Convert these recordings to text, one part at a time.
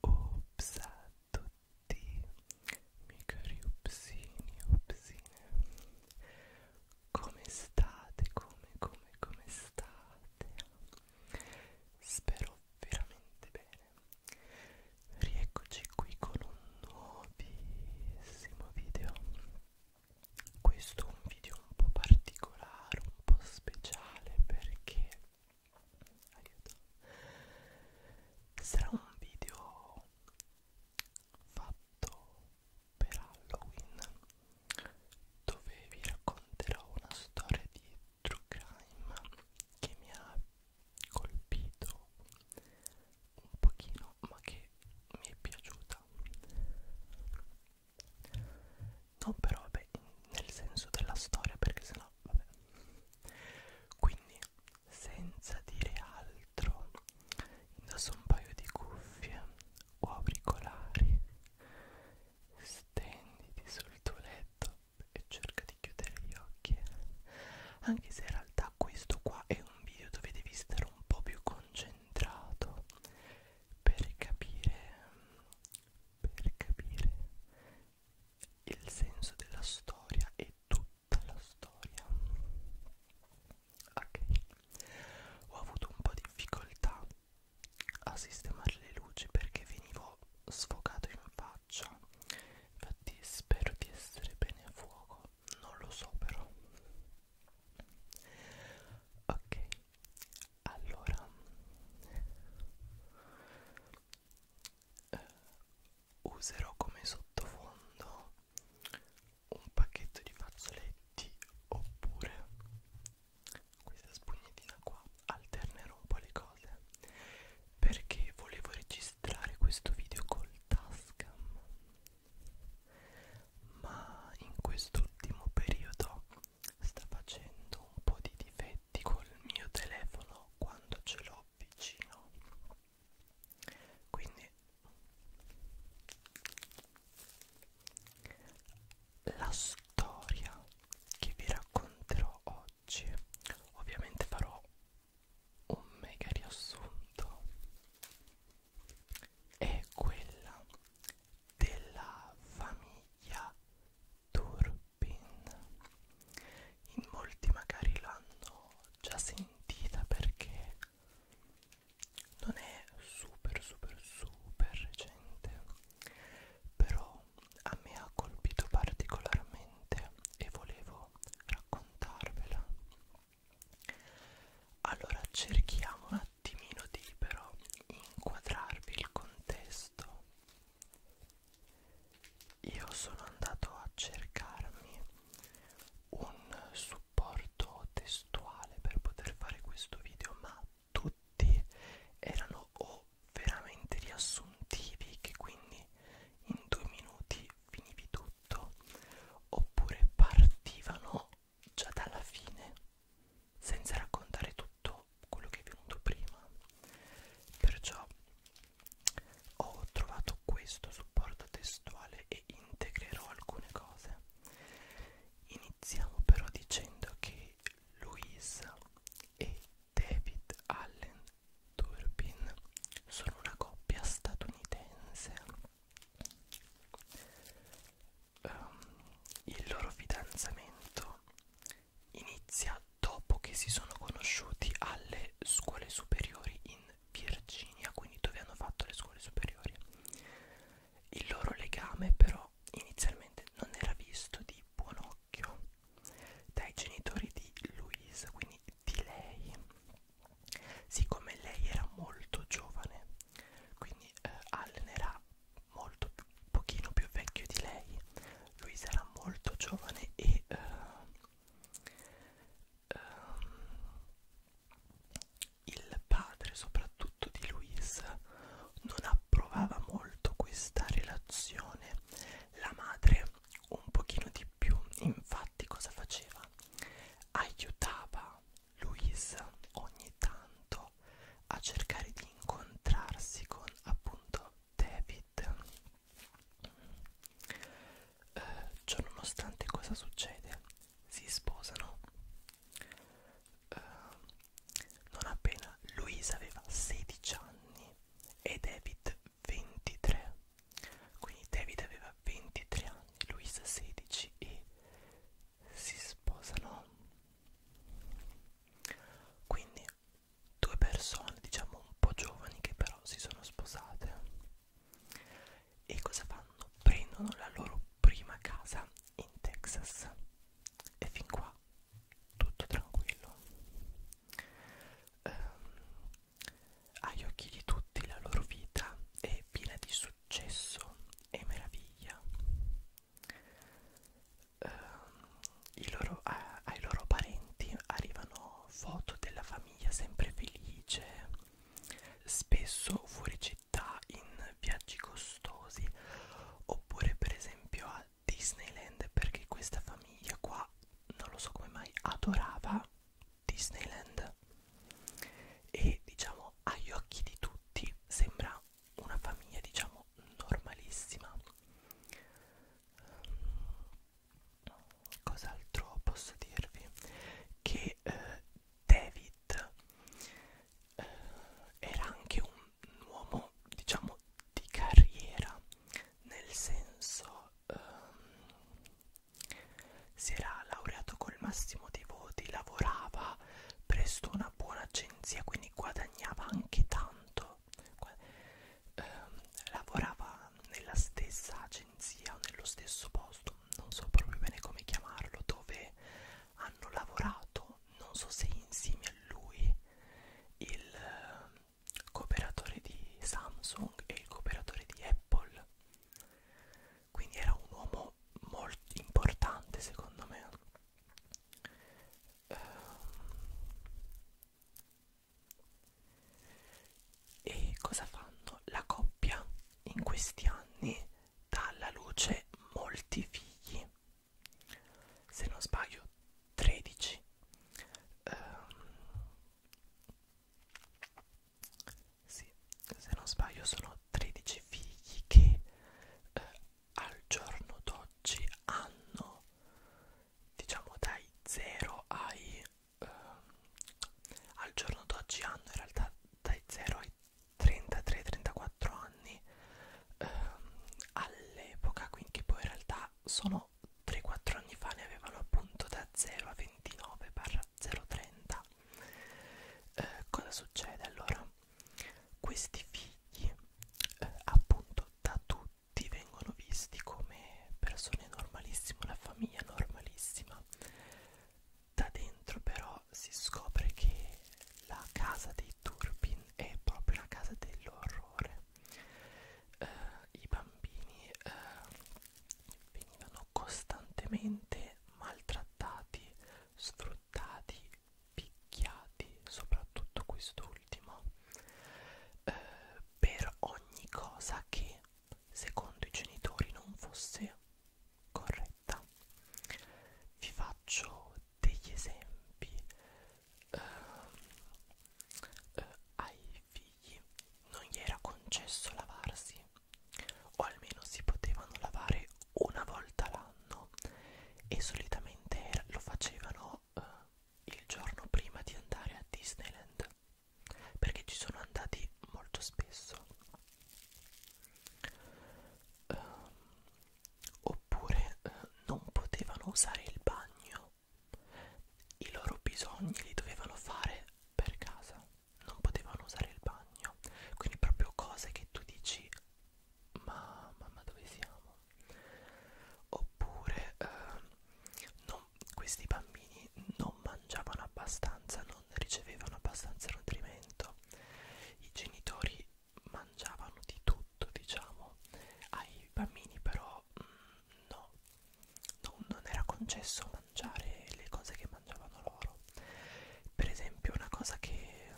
Ops a tutti, miei cari upsini, upsine Come state? Come, come, come state? Spero veramente bene Rieccoci qui con un nuovissimo video questo è un video un po' particolare, un po' speciale perché aiuto, sarà un video fatto per Halloween dove vi racconterò una storia di true crime che mi ha colpito un pochino ma che mi è piaciuta non però vabbè nel senso della storia perché sennò vabbè quindi senza dire altro indosso un paio di cuffie o auricolari stenditi sul tuo letto e cerca di chiudere gli occhi anche se in realtà questo qua è un video dove devi stare un po' più concentrato per capire per capire il senso della storia e tutta la storia ok ho avuto un po' di difficoltà a sistemare le luci perché venivo sfocato in faccia infatti spero di essere bene a fuoco non lo so però ok allora eh, userò come sottofondo un pacchetto di fazzoletti oppure questa spugnetina qua alternerò un po' le cose perché volevo registrare registrare questo video col Tascam ma in quest'ultimo periodo sta facendo un po' di difetti col mio telefono quando ce l'ho vicino quindi la storia che vi racconterò oggi ovviamente farò un mega riassunto è quella della famiglia Turpin in molti magari l'hanno già sentita perché non è super super super recente però a me ha colpito particolarmente e volevo raccontarvela allora cerchiamo un attimino di però inquadrarvi il contesto. Io sono andato a cercarmi un supporto testuale per poter fare questo video, ma tutti erano o veramente riassuntivi che quindi in due minuti finivi tu tutto oppure partivano già dalla fine senza raccontare tutto quello che è venuto prima perciò ho trovato questo supporto testuale e integrerò alcune cose iniziamo però dicendo che Louise e David Allen Turbin sono una coppia statunitense um, il loro fidanzamento inizia dopo che si sono conosciuti alle scuole superiori in Virginia, quindi dove hanno fatto le scuole superiori. Il loro legame però inizialmente non era visto di buon occhio dai genitori di Louise, quindi di lei siccome lei era molto giovane quindi eh, Allen era molto pochino più vecchio di lei Luisa era molto giovane e eh, ehm, il padre soprattutto di Luisa non approvava molto questa relazione la madre un pochino di più infatti cosa faceva aiutava Luisa ogni tanto a cercare di incontrarsi con appunto David. Eh, ciò nonostante cosa succede? Si sposano. Eh, non appena Luisa aveva 16 anni e David 23 quindi David aveva 23 anni, Luisa 16 e si sposano. Quindi due persone, diciamo un po' giovani, che però si sono sposate. E cosa fanno? Prendono la loro prima casa in Texas. E fin qua tutto tranquillo. Um, agli occhi di tutti la loro vita è piena di successo e meraviglia. Uh, i loro, uh, ai loro parenti arrivano foto della famiglia sempre felice, spesso fuori città in viaggi costosi, oppure per esempio a Disneyland perché questa famiglia qua non lo so come mai adorava Disneyland e diciamo agli occhi di tutti sembra una famiglia diciamo normalissima cos'altro posso dirvi che eh, David eh, era anche un uomo diciamo di carriera nel senso um, si era laureato col massimo dei voti, lavorava presso una buona agenzia, quindi guadagnava anche tanto, um, lavorava nella stessa agenzia o nello stesso posto, non so proprio bene come chiamarlo, dove hanno lavorato, non so se insieme a lui il ehm, cooperatore di Samsung e il cooperatore di Apple quindi era un uomo molto importante secondo me ehm, e cosa fanno? La coppia in questi anni dà alla luce molti figli, se non sbaglio 13. Um, ehm, sì, se non sbaglio sono 13 figli che eh, al giorno d'oggi hanno, diciamo dai 0 ai... Eh, al giorno d'oggi hanno in realtà dai 0 ai 33-34 anni eh, all'epoca, quindi poi in realtà sono 3-4 anni fa ne avevano appunto da 0 a 29 per 030 eh, cosa succede allora questi figli eh, appunto da tutti vengono visti come persone normalissime una famiglia normalissima da dentro però si scopre che la casa dei Turbin è proprio la casa dell'orrore eh, i bambini eh, venivano costantemente maltrattati, sfruttati, picchiati, soprattutto quest'ultimo, eh, per ogni cosa che secondo i genitori non fosse corretta. Vi faccio degli esempi. Eh, eh, ai i figli non gli era concesso lavarsi, o almeno si potevano lavare una volta l'anno e solitamente era, lo facevano eh, il giorno prima di andare a Disneyland perché ci sono andati molto spesso um, oppure eh, non potevano usare il bagno i loro bisogni li dovevano fare per casa non potevano usare il bagno quindi proprio cose che tu dici ma mamma dove siamo oppure eh, non, questi bambini non mangiavano abbastanza non ricevevano abbastanza nutrimento i genitori mangiavano di tutto diciamo ai bambini però mh, mm, no, no non era concesso mangiare le cose che mangiavano loro per esempio una cosa che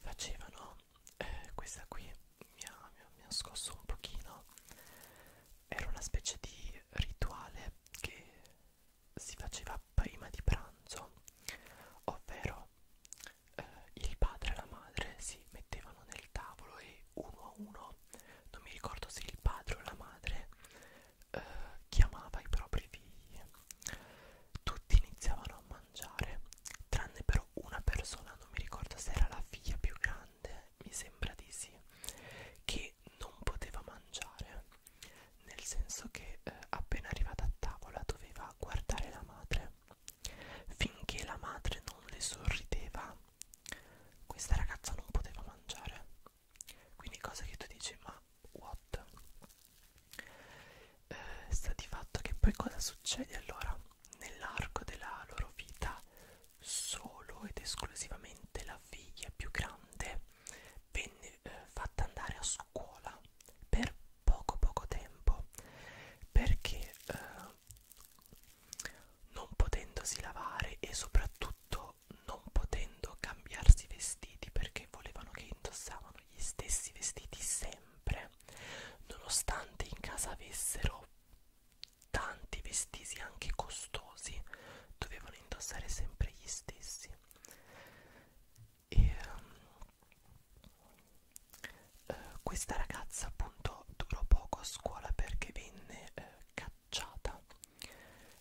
facevano eh, questa qui mi ha, mi ha scosso un pochino era una specie di rituale che si faceva prima di pranzo ovvero eh, il padre e la madre si mettevano nel tavolo e uno a uno non mi ricordo se il padre o la madre eh, chiamava i propri figli tutti iniziavano a mangiare tranne però una persona non mi ricordo se era la figlia più grande mi sembra di sì che non poteva mangiare nel senso che eh, appena arrivata a tavola doveva guardare la madre finché la madre non le sorrideva questa ragazza non poteva mangiare quindi cosa che tu dici ma what eh, sta di fatto che poi cosa succede allora nell'arco della loro vita solo ed esclusivamente la figlia più grande venne eh, fatta andare a scuola per poco poco tempo perché eh, non potendosi lavare e soprattutto non potendo cambiarsi i vestiti perché volevano che indossavano gli stessi vestiti sempre nonostante in casa avessero tanti vestiti anche costosi dovevano indossare sempre gli stessi e um, eh, questa ragazza appunto durò poco a scuola perché venne eh, ghiacciata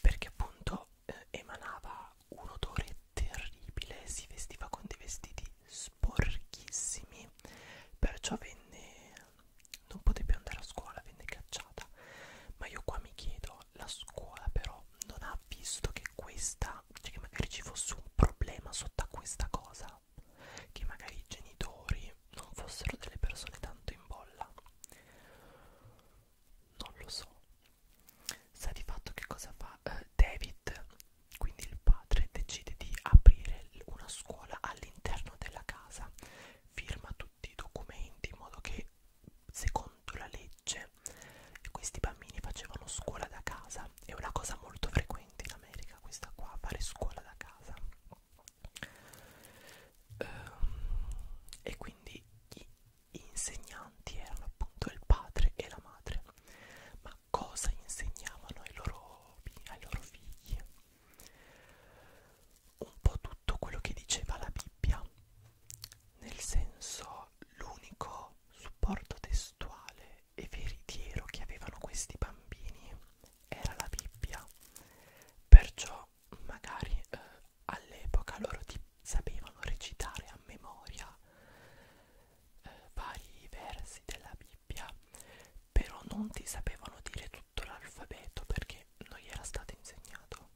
perché appunto eh, emanava un odore terribile si vestiva con dei vestiti sporchissimi perciò venne non poté più andare a scuola venne cacciata ma io qua mi chiedo la scuola però non ha visto che questa cioè che magari ci fosse un problema sotto a questa cosa che magari i genitori non fossero delle persone tanto in bolla. Non lo so. Sa di fatto che cosa fa eh, David, quindi il padre decide di aprire una scuola all'interno della casa, firma tutti i documenti in modo che secondo la legge questi bambini facevano scuola da casa, è una cosa molto frequente in America questa qua, fare scuola da casa. Ehm, e quindi gli insegnanti erano appunto il padre e la madre ma cosa insegnavano ai loro, ai loro figli? un po' tutto quello che diceva la Bibbia nel senso l'unico supporto testuale e veritiero che avevano questi bambini era la Bibbia perciò magari eh, all'epoca loro ti sapevano recitare a memoria eh, vari versi della Bibbia però non ti sapevano dire tutto l'alfabeto perché non gli era stato insegnato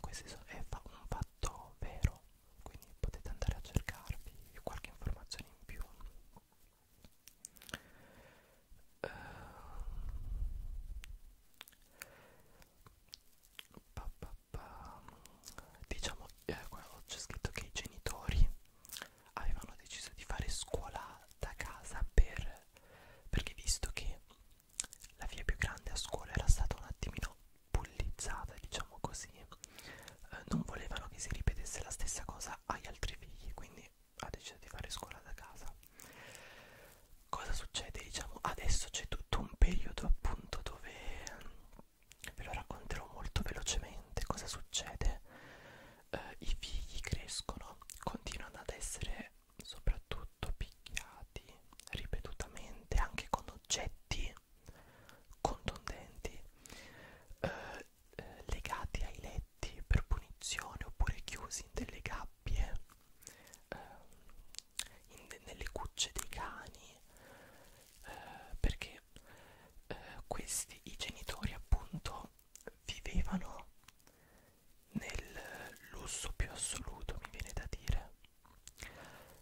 questo è un fatto vero quindi potete andare a cercarvi qualche informazione in più eh, pa, pa, pa. diciamo eh, c'è scritto che i genitori avevano deciso di fare scuola da casa per, perché visto che la figlia più grande a scuola era stata un attimino bullizzata diciamo così eh, non volevano che si ripetesse la stessa cosa agli altri figli quindi ha deciso di fare scuola da casa cosa succede diciamo adesso c'è tutto un periodo appunto dove ehm, ve lo racconterò molto velocemente cosa succede eh, i figli crescono continuano ad essere soprattutto picchiati ripetutamente anche con oggetti contundenti eh, eh, legati ai letti per punizione oppure chiusi in delle gabbie, eh, in, nelle cucce dei cani, eh, perché eh, questi, i genitori appunto, vivevano nel lusso più assoluto, mi viene da dire,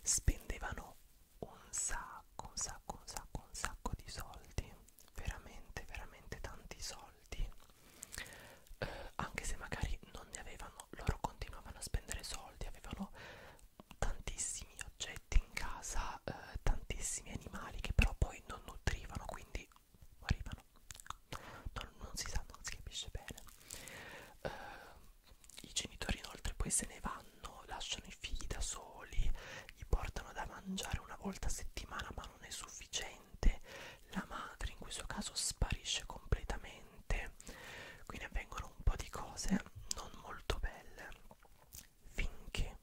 spendevano un sacco, un sacco, un sacco, un sacco di soldi veramente veramente tanti soldi eh, anche se magari non ne avevano loro continuavano a spendere soldi avevano tantissimi oggetti in casa eh, tantissimi animali che però poi non nutrivano quindi morivano non, non si sa non si capisce bene eh, i genitori inoltre poi se ne vanno lasciano i figli da soli gli portano da mangiare una volta a settimana ma non è sufficiente la madre in questo caso sparisce completamente quindi avvengono un po' di cose non molto belle finché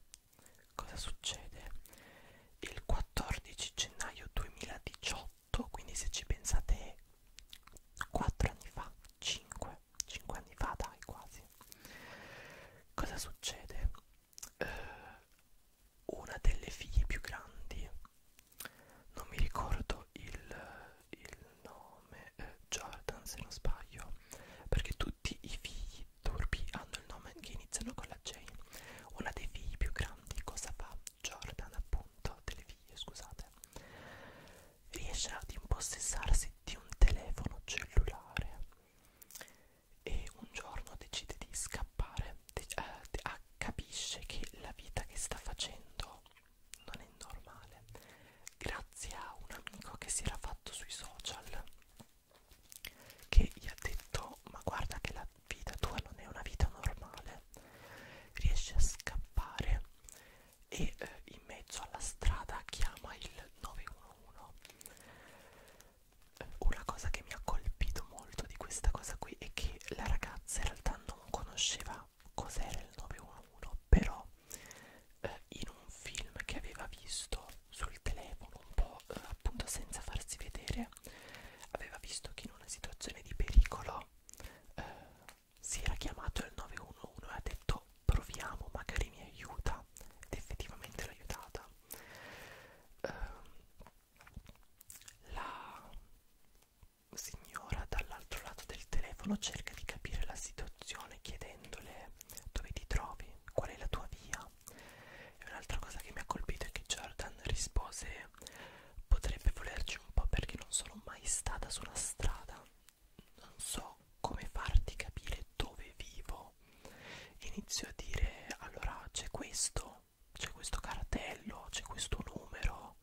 cosa succede il 14 gennaio 2018 quindi se ci pensate 4 anni fa 5 5 anni fa dai quasi cosa succede eh, una delle figlie più grandi non mi ricordo il, il nome eh, Jordan se non sbaglio perché tutti i figli turbi hanno il nome che iniziano con la J una dei figli più grandi cosa fa Jordan appunto delle figlie scusate riesce ad impossessarsi di un telefono cellulare e un giorno decide di scappare, de eh, ah, capisce che la vita che sta facendo non è normale, grazie a un amico che si era fatto sui social, che gli ha detto ma guarda che la vita tua non è una vita normale, riesce a scappare e eh, in mezzo alla strada chiama il 911 una cosa che mi ha colpito molto di questa cosa qui è che la ragazza in realtà non conosceva cos'era il 911 però eh, in un film che aveva visto sul telefono un po' eh, appunto senza farsi vedere aveva visto che in una situazione di pericolo eh, si era chiamato il 911 e ha detto proviamo magari mi aiuta ed effettivamente l'ha aiutata eh, la signora dall'altro lato del telefono cerca di capire la situazione chiedendole dove ti trovi, qual è la tua via e un'altra cosa che mi ha colpito è che Jordan rispose potrebbe volerci un po' perché non sono mai stata sulla strada non so come farti capire dove vivo inizio a dire allora c'è questo c'è questo cartello c'è questo numero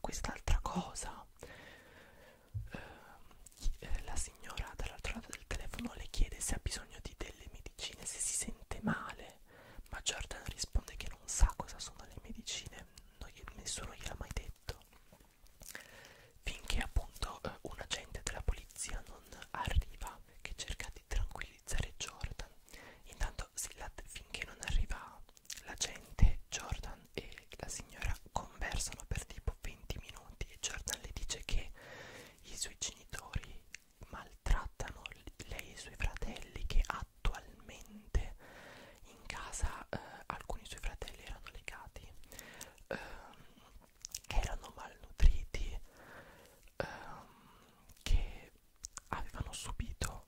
quest'altra cosa ehm, eh, la signora dall'altro lato del telefono le chiede se ha bisogno di delle medicine se si sente male ma Jordan risponde che non sa cosa sono le medicine non gli, nessuno gliel'ha mai detto finché appunto eh, un agente della polizia non arriva Bob che cerca di tranquillizzare Jordan. Intanto finché non arriva la gente, Jordan e la signora conversano per tipo 20 minuti e Jordan le dice che i suoi genitori maltrattano lei e i suoi fratelli che attualmente in casa eh, alcuni suoi fratelli erano legati. Eh, erano malnutriti, ehm, che avevano subito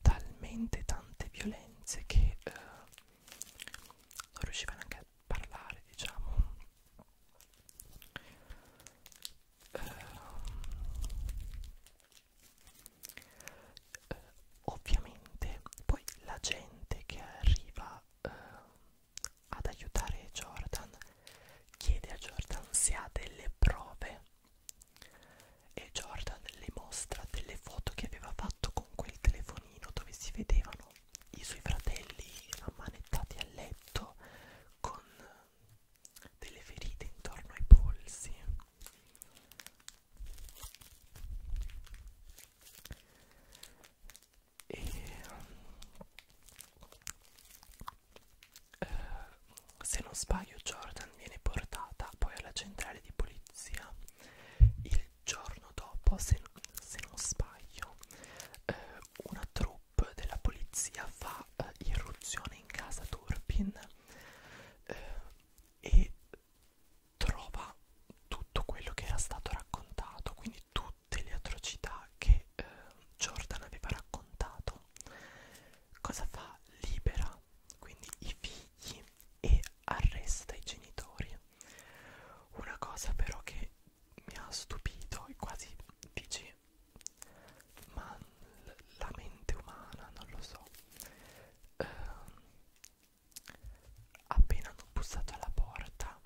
talmente tante violenze che eh, non riuscivano anche a parlare, diciamo. Eh, eh, ovviamente poi la gente che arriva eh, ad aiutare Jordan chiede a Jordan se ha delle prove e Jordan le mostra delle foto che aveva fatto con quel telefonino dove si vedevano i suoi fratelli ammanettati a letto con delle ferite intorno ai polsi e eh, se non sbaglio Jordan viene portata poi alla centrale di polizia il giorno dopo se, se non sbaglio eh, una troupe della polizia fa eh, irruzione in casa Turpin eh, e trova tutto quello che era stato raccontato quindi quindi tutte le atrocità che eh, Jordan aveva raccontato cosa fa? libera quindi i figli e arresta i genitori una cosa però che mi ha stupito e quasi dici ma la mente umana non lo so eh, appena hanno bussato alla porta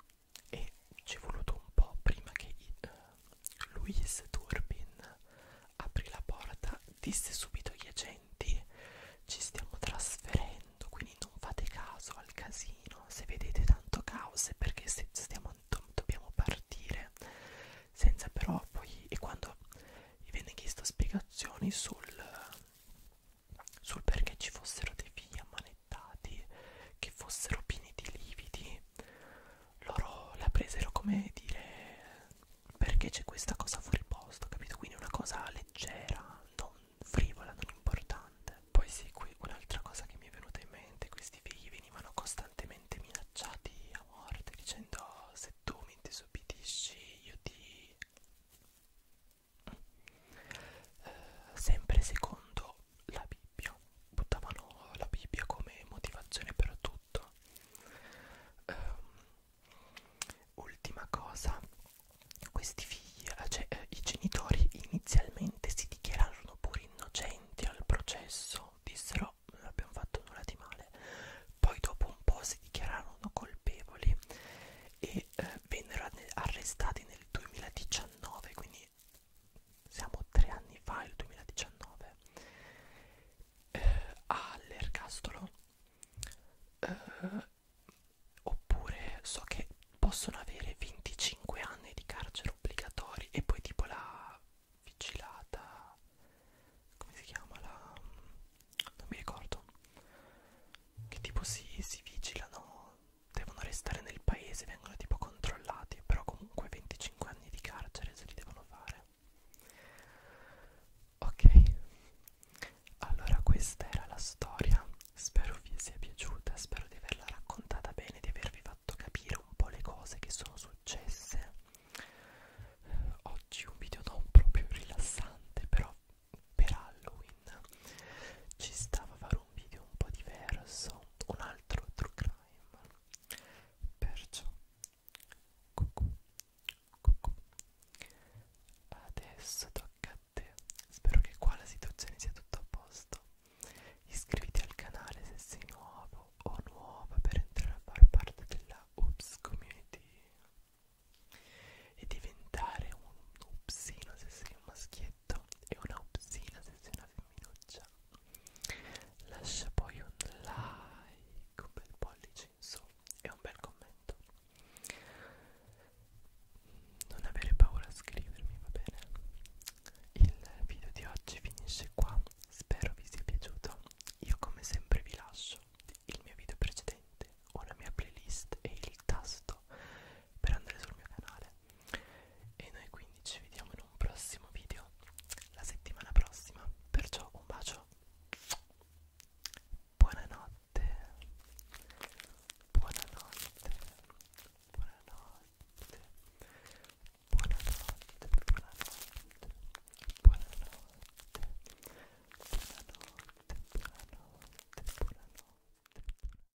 e ci è voluto un po' prima che eh, Luis Turbin aprì la porta, disse subito agli agenti ci stiamo trasferendo, quindi non fate caso al casino, se vedete tanto caos è perché se stiamo, do, dobbiamo partire, senza però poi, e quando gli venne chiesto spiegazioni sul, sul perché ci fossero dei figli ammanettati smanettati, che fossero pieni di lividi, loro la presero come dire perché c'è questa cosa fuori posto, capito? Quindi una cosa leggera, non frivola, non importante. Poi sì, qui un'altra cosa che mi è venuta in mente, questi figli venivano costantemente minacciati a morte dicendo oh, se tu mi disobbedisci io ti eh, sempre secondo la Bibbia, buttavano la Bibbia come motivazione per tutto. Um, ultima cosa, questi figli, eh, cioè eh, i genitori inizialmente si dichiararono pure innocenti al processo, dissero non abbiamo fatto nulla di male, poi dopo un po' si dichiararono colpevoli e eh, vennero arrestati nel 2019, quindi anni siamo tre anni fa il 2019 eh, all'ergastolo eh, oppure so che possono avere 25 anni di carcere obbligatori e poi tipo la vigilata come si chiama la non mi ricordo che tipo si, si vigilano devono restare nel paese, vengono tipo controllati, però comunque 25 anni di carcere se li devono fare. Ok, allora questa era la storia, spero vi sia piaciuta, spero di averla raccontata bene, di avervi fatto capire un po' le cose che sono successe. Oggi un video non proprio rilassante, però per Halloween ci stava a fare un video un po' diverso, un altro true crime. Perciò, cucù, cucù. Adesso tocca a te. Spero che qua la situazione sia tutto a posto. Iscriviti al canale se sei nuovo o nuova per entrare a far parte della Oops Community e diventare un upsino se sei un maschietto e una obscena sessione femminuccia lascia poi un like un bel pollice in su e un bel commento non avere paura a scrivermi va bene il video di oggi finisce qua spero vi sia piaciuto io come sempre vi lascio il mio video precedente ho la mia playlist e il tasto per andare sul mio canale e noi quindi ci vediamo in un prossimo video la settimana prossima. Perciò un bacio. Buonanotte. Buonanotte. Buonanotte. Buonanotte. Buonanotte. Buonanotte. Buonanotte, buonanotte, buonanotte.